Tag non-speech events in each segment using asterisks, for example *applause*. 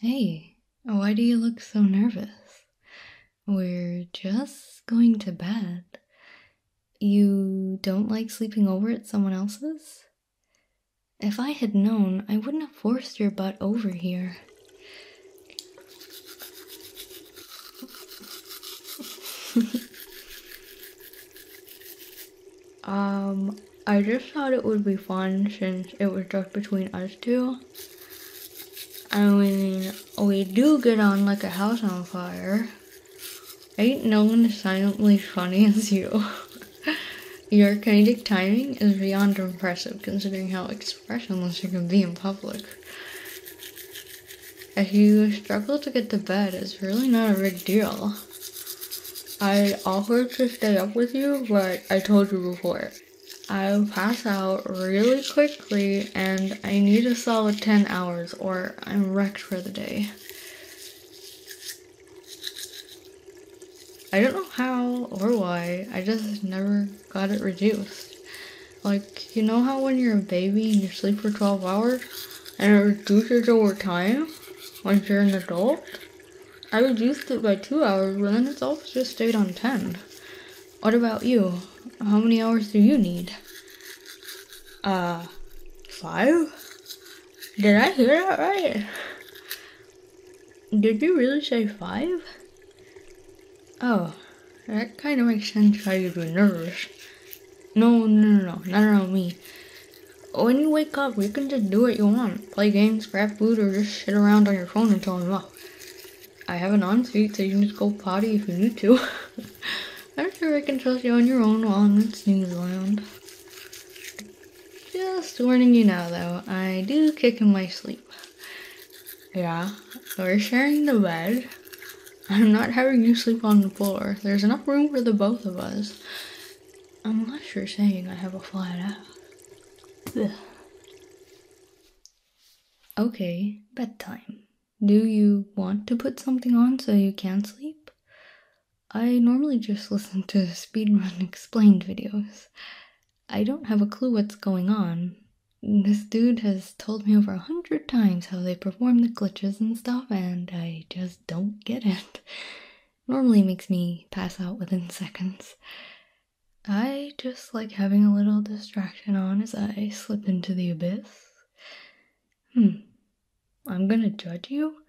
Hey, why do you look so nervous? We're just going to bed. You don't like sleeping over at someone else's? If I had known, I wouldn't have forced your butt over here. *laughs* Um, I just thought it would be fun since it was just between us two. I mean, we do get on like a house on fire. Ain't no one silently funny as you. *laughs* Your comedic timing is beyond impressive considering how expressionless you can be in public. If you struggle to get to bed, it's really not a big deal. I offered to stay up with you, but I told you before. i pass out really quickly and I need a solid 10 hours or I'm wrecked for the day. I don't know how or why, I just never got it reduced. Like, you know how when you're a baby and you sleep for 12 hours and it reduces over time once you're an adult? I reduced it by two hours, but then it's also just stayed on 10. What about you? How many hours do you need? Uh, five? Did I hear that right? Did you really say five? Oh, that kind of makes sense why you'd be nervous. No, no, no, no, not around me. When you wake up, you can just do what you want. Play games, craft food, or just sit around on your phone until I'm up. I have an on suite, so you can just go potty if you need to. *laughs* I'm sure I can trust you on your own while I'm in snooze lounge. Just warning you now, though, I do kick in my sleep. Yeah, we're sharing the bed. I'm not having you sleep on the floor. There's enough room for the both of us. I'm not sure saying I have a flat ass. Okay, bedtime. Do you want to put something on so you can sleep? I normally just *laughs* listen to speedrun *laughs* explained videos. I don't have a clue what's going on. This dude has told me over a hundred times how they perform the glitches and stuff, and I just don't get it. *laughs* normally makes me pass out within *laughs* seconds. I just like having a little distraction on as I slip into the abyss. Hmm. I'm gonna judge you?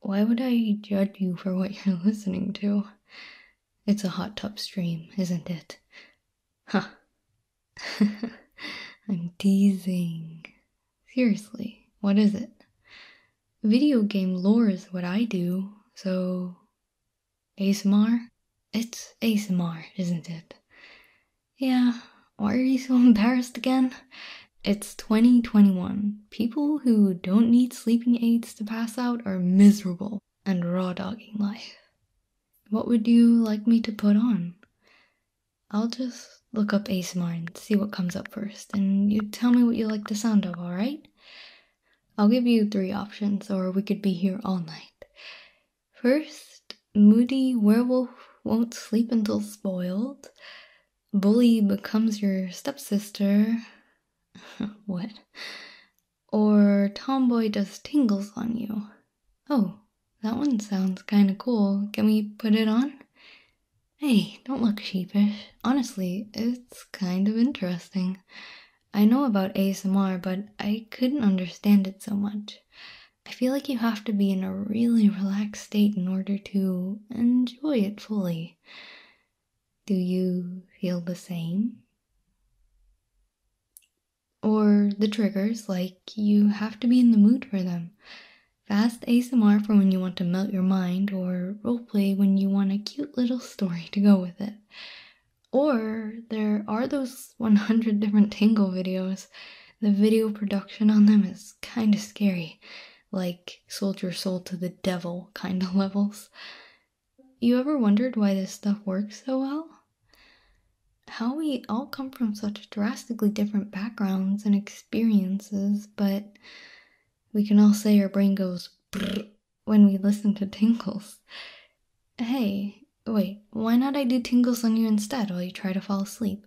Why would I judge you for what *laughs* you're listening to? It's a hot tub stream, isn't it? Huh. *laughs* I'm teasing. Seriously, what is it? Video game lore is what I do, so. ASMR? It's ASMR, isn't it? Yeah, why are you so *laughs* embarrassed again? It's 2021. People who don't need sleeping aids to pass out are miserable and raw dogging life. What would you like me to put on? I'll just look up ASMR and see what comes up first, and you tell me what you like the sound of, alright? I'll give you three options, or we could be here all night. First, moody werewolf won't sleep until spoiled. Bully becomes your stepsister. *laughs* what? Or tomboy does tingles on you. Oh, that one sounds kinda cool. Can we put it on? Hey, don't look sheepish. Honestly, it's kind of interesting. I know about ASMR, but I couldn't understand it so much. I feel like you have to be in a really relaxed state in order to enjoy it fully. Do you feel the same? Or the triggers, like you have to be in the mood for them. Fast ASMR for when you want to melt your mind, or roleplay when you want a cute little *laughs* story to go with it. Or there are those 100 different Tangle videos. The video production on them is kind of scary, like sold your soul to the devil kind of *laughs* levels. You ever wondered why this stuff works so well? How we all come from such drastically different backgrounds and experiences, but we can all say our brain goes when we listen to tingles. Hey, wait, why not I do tingles on you instead while you try to fall asleep?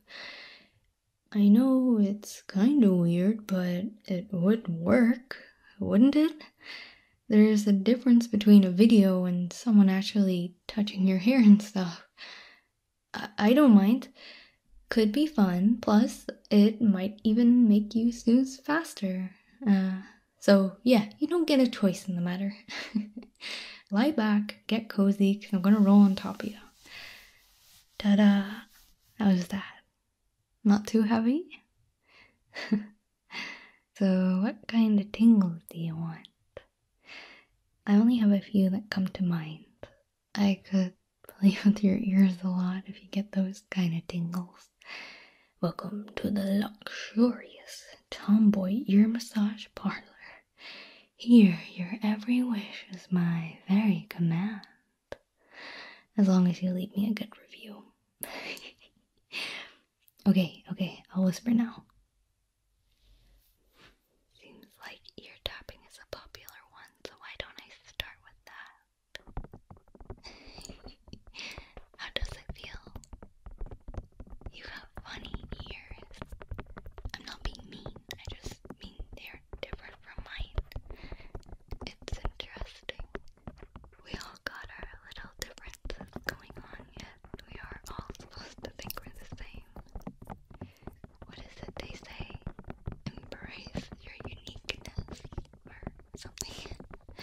I know it's kinda weird, but it would work, wouldn't it? There's a difference between a video and someone actually touching your hair and stuff. I, don't mind. Could be fun, plus, it might even make you snooze faster. Uh, so, yeah, you don't get a choice in the matter. *laughs* Lie back, get cozy, because I'm going to roll on top of you. Ta da! How's that? Not too heavy? *laughs* so, what kind of tingles do you want? I only have a few that come to mind. I could play *laughs* with your ears a lot if you get those kind of tingles. Welcome to the luxurious tomboy ear massage parlor. Here, your every wish is my very command. As long as you leave me a good review. *laughs* okay, okay, I'll whisper now. Seems like ear tapping is a popular one, so why don't I start with that? *laughs* How does it feel? You have funny ears. I'm not being mean, I just mean they're different from mine. It's interesting. We all got our little differences going on, yet we are all supposed to think we're the same what is it they say? Embrace your uniqueness or something. *laughs*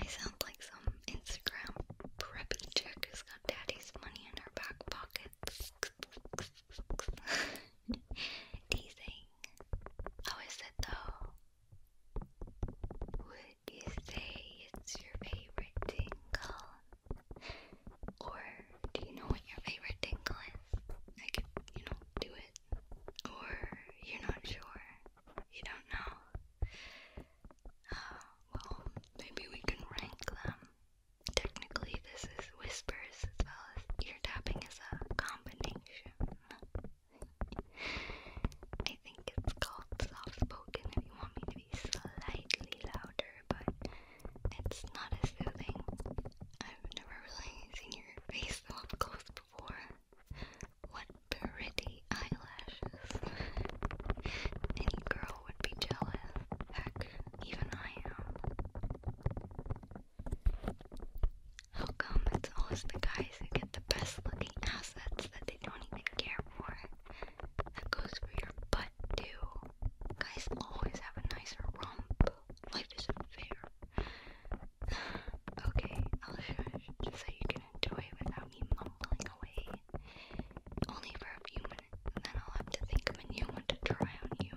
I sound like some Instagram preppy chick who's got daddy's money in her back pocket. *laughs* Teasing. How is it though? Would you say it's your favorite tingle? Or do you know what your favorite tingle is? I could, you know, do it. Or you're not sure. You don't know. Uh, well, maybe we can rank them. Technically, this is whispers as well as ear tapping as a combination. I think it's called soft spoken if you want me to be be slightly louder, but it's not as soothing. I've never really seen your face so up close before. What pretty eyelashes. Any girl would be jealous. Heck, even I am. How come it's always the guys who get the best looking assets that they don't even care for? That goes for your butt too. Guys always have a nicer rump. Life is unfair. *sighs* okay, just so you can enjoy without me mumbling away. Only for a few minutes, and then I'll have to think of a new one to try on you.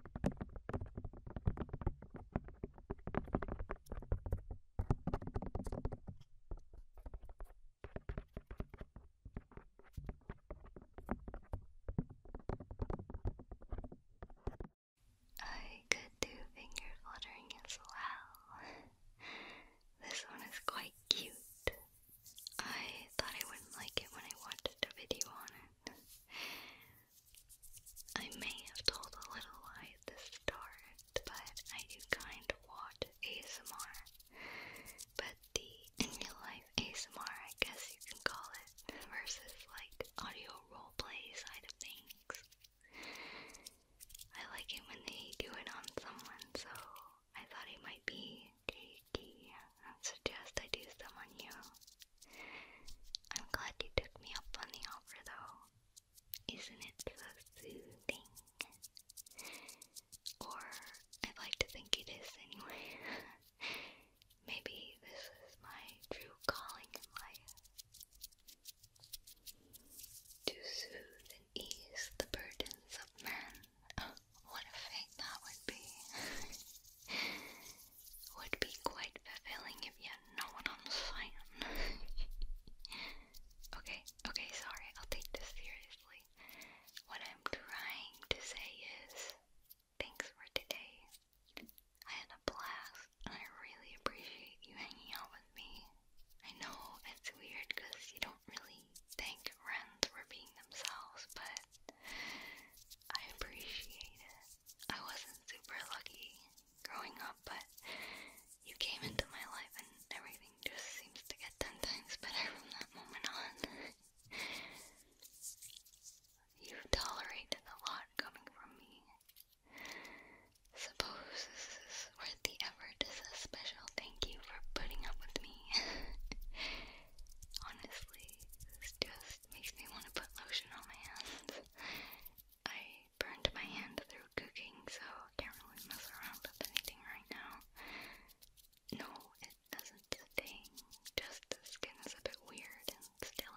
I could do finger fluttering as well. this one is quite cute. I thought I wouldn't like it when I watched a video on it. I may have told a little lie at the start, but I do kind of watch ASMR. But the in real life ASMR, I guess you can call it, versus like audio roleplay side of things. I like it when they do it on someone, so I thought it might be cheeky. I suggest I do some on you. I'm glad you took me up on the offer though. Isn't it soothing? Or I'd like to think it is anyway. *laughs* Maybe this is my true calling in life. To soothe and ease the burdens of men. *laughs* what a fate that would be. *laughs* would be quite fulfilling if you know what I'm saying. okay, okay, sorry, I'll take this seriously. What I'm trying to say is thanks for today. I had a blast and I really appreciate you hanging out with me. I know it's weird because you don't really thank friends for being themselves, but I appreciate it. I wasn't super lucky growing up, but you came into my life and everything just seems to get ten times better from that moment on. *laughs* You've tolerated a lot coming from me. Suppose this is worth the effort as a special thank you for putting up with me. *laughs* Honestly, it's just makes me want to put lotion on my hands. I burned my hand through cooking, so I can't really mess around with anything right now. No, it doesn't sting, just the skin is a bit weird and still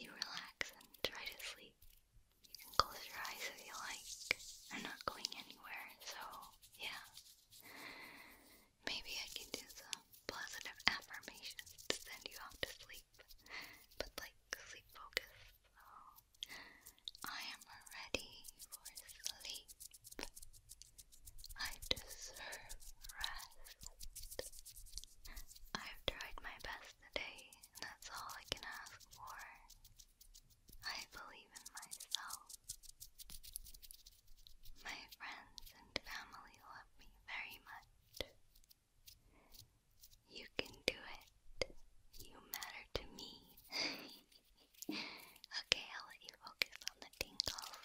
You relax and try to sleep. You can close your eyes if you like. I'm not going anywhere, so yeah. Maybe I can do some positive affirmations to send you off to sleep, but like sleep focused. I am ready for sleep. I deserve rest. I've tried my best today, and that's all I can ask for. I believe in myself. My friends and family love me very much. You can do it. You matter to me. *laughs* okay, I'll let you focus on the tingles.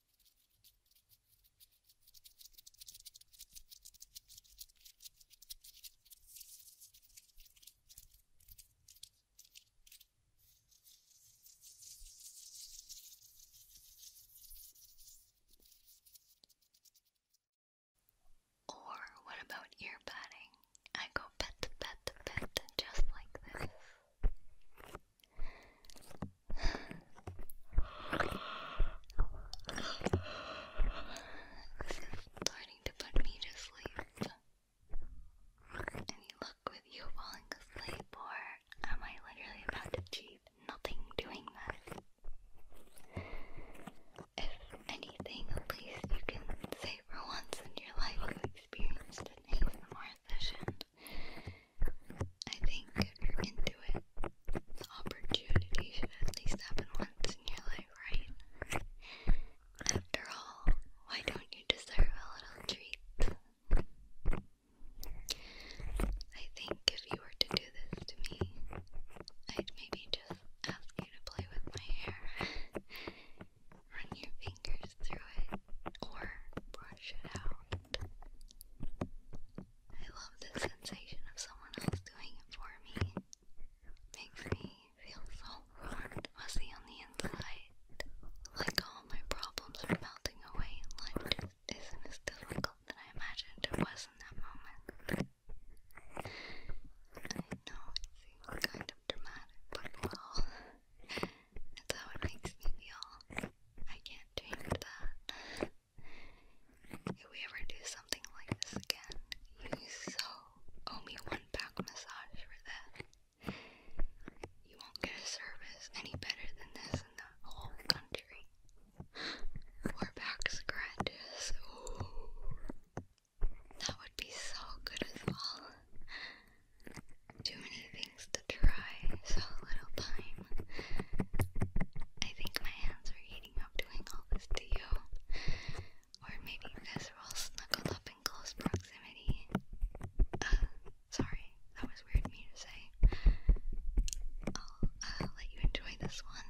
Or what about ear patting? I go pet, pet, pet, just like this starting to put me to sleep. Any luck with you falling asleep, or am I literally about to achieve nothing doing that? If anything, at least you can say for once in your life you experienced an ASMR session. I think if you're into it, the opportunity should at least happen once in your life, right? After all, why don't you deserve a little treat? I think if you were to do this to me, I'd maybe just ask you to play with my hair run your fingers through it or brush it out. I love the sensation of someone else doing it for me. Makes me feel so warm, fuzzy on the inside. Like all my problems are melting away life isn't as difficult than I imagined it was in that moment. I know it seems kind of dramatic, but well, that's how it makes me feel. I can't change that. If we ever do something like this again, you so owe me one back massage for that. You won't get a service any better than this in the whole country. Or back scratches. That would be so good as well too many things to try, so little time. I think my hands are heating up doing all this to you, or maybe because we're all snuggled up in close proximity. Uh, sorry, that was weird of me to say. I'll uh, let you enjoy this one.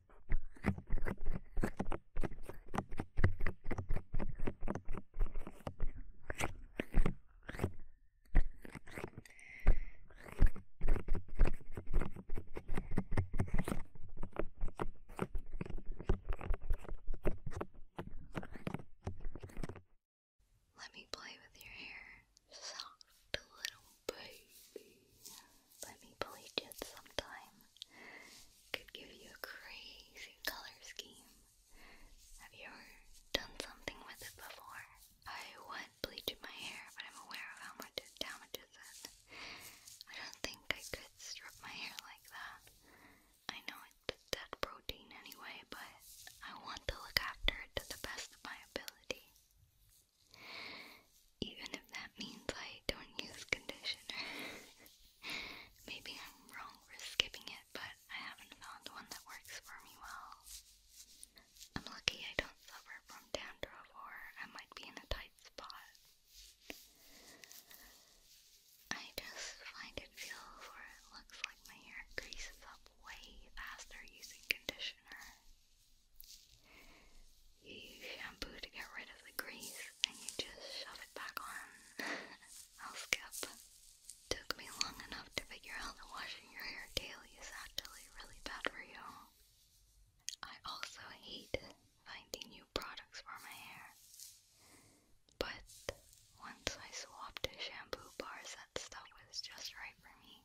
Let me play with your hair soft little baby. Let me bleach it sometime. Could give you a crazy color scheme. Have you ever done something with it before? I would bleach my hair, but I'm aware of how much it damages it. I don't think I could strip my hair like that. I know it's dead protein anyway, but I want to look after it to the best of my ability. Even if that means I don't use conditioner. *laughs* Maybe I'm wrong for skipping it, but I haven't found one that works for me well. I'm lucky I don't suffer from dandruff or I might be in a tight spot. I just find it feels or looks like my hair greases up way faster using conditioner you shampoo to get rid of the grease and you just shove it back on. I'll *laughs* skip. Took me long enough to figure out that washing your hair daily is actually really bad for you. I also hate finding new products for my hair. But once I swapped to shampoo bars, that stuff was just right for me.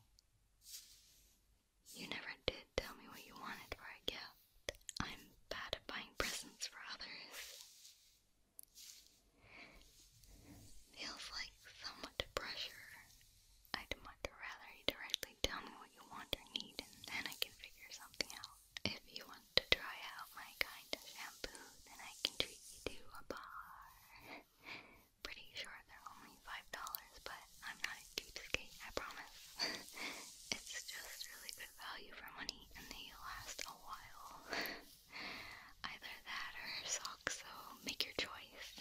You never did tell me what you wanted for a gift. I'm bad at buying presents for others. Feels like so pressure. I'd much rather you directly tell me what you want or need and then I can figure something out. If you want to try out my kind of shampoo, then I can treat you to a bar pretty sure they're only five dollars, but I'm not a cheapskate, I promise. *laughs* it's just really good value for money, and they last a while. *laughs* Either that or socks, so make your choice. *laughs*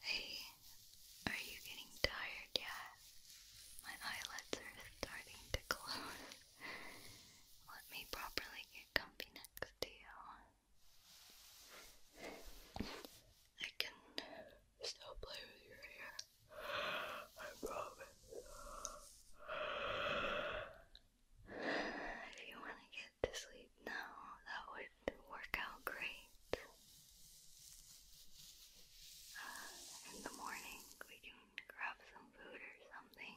Hey, are you getting tired yet? My eyelids are starting to close. *laughs* Let me properly get comfy next to you. I can still play with your hair. I promise. If you want to get to sleep now, that would work out great uh, in the morning we can grab some food or something.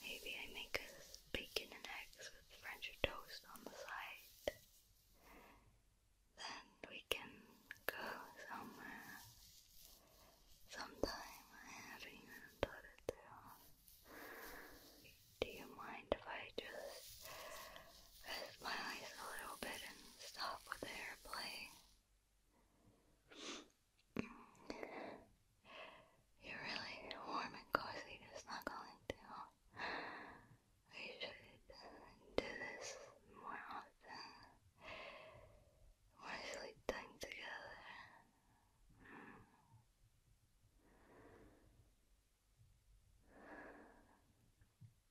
Maybe I make us bacon and eggs with French toast on the side. Then we can go somewhere sometime. haven't thought it through. Do you mind if I just rest my eyes a little bit and stop with airplay? You're really warm and cozy to snuggle into. We should do this more often. More sleep time together.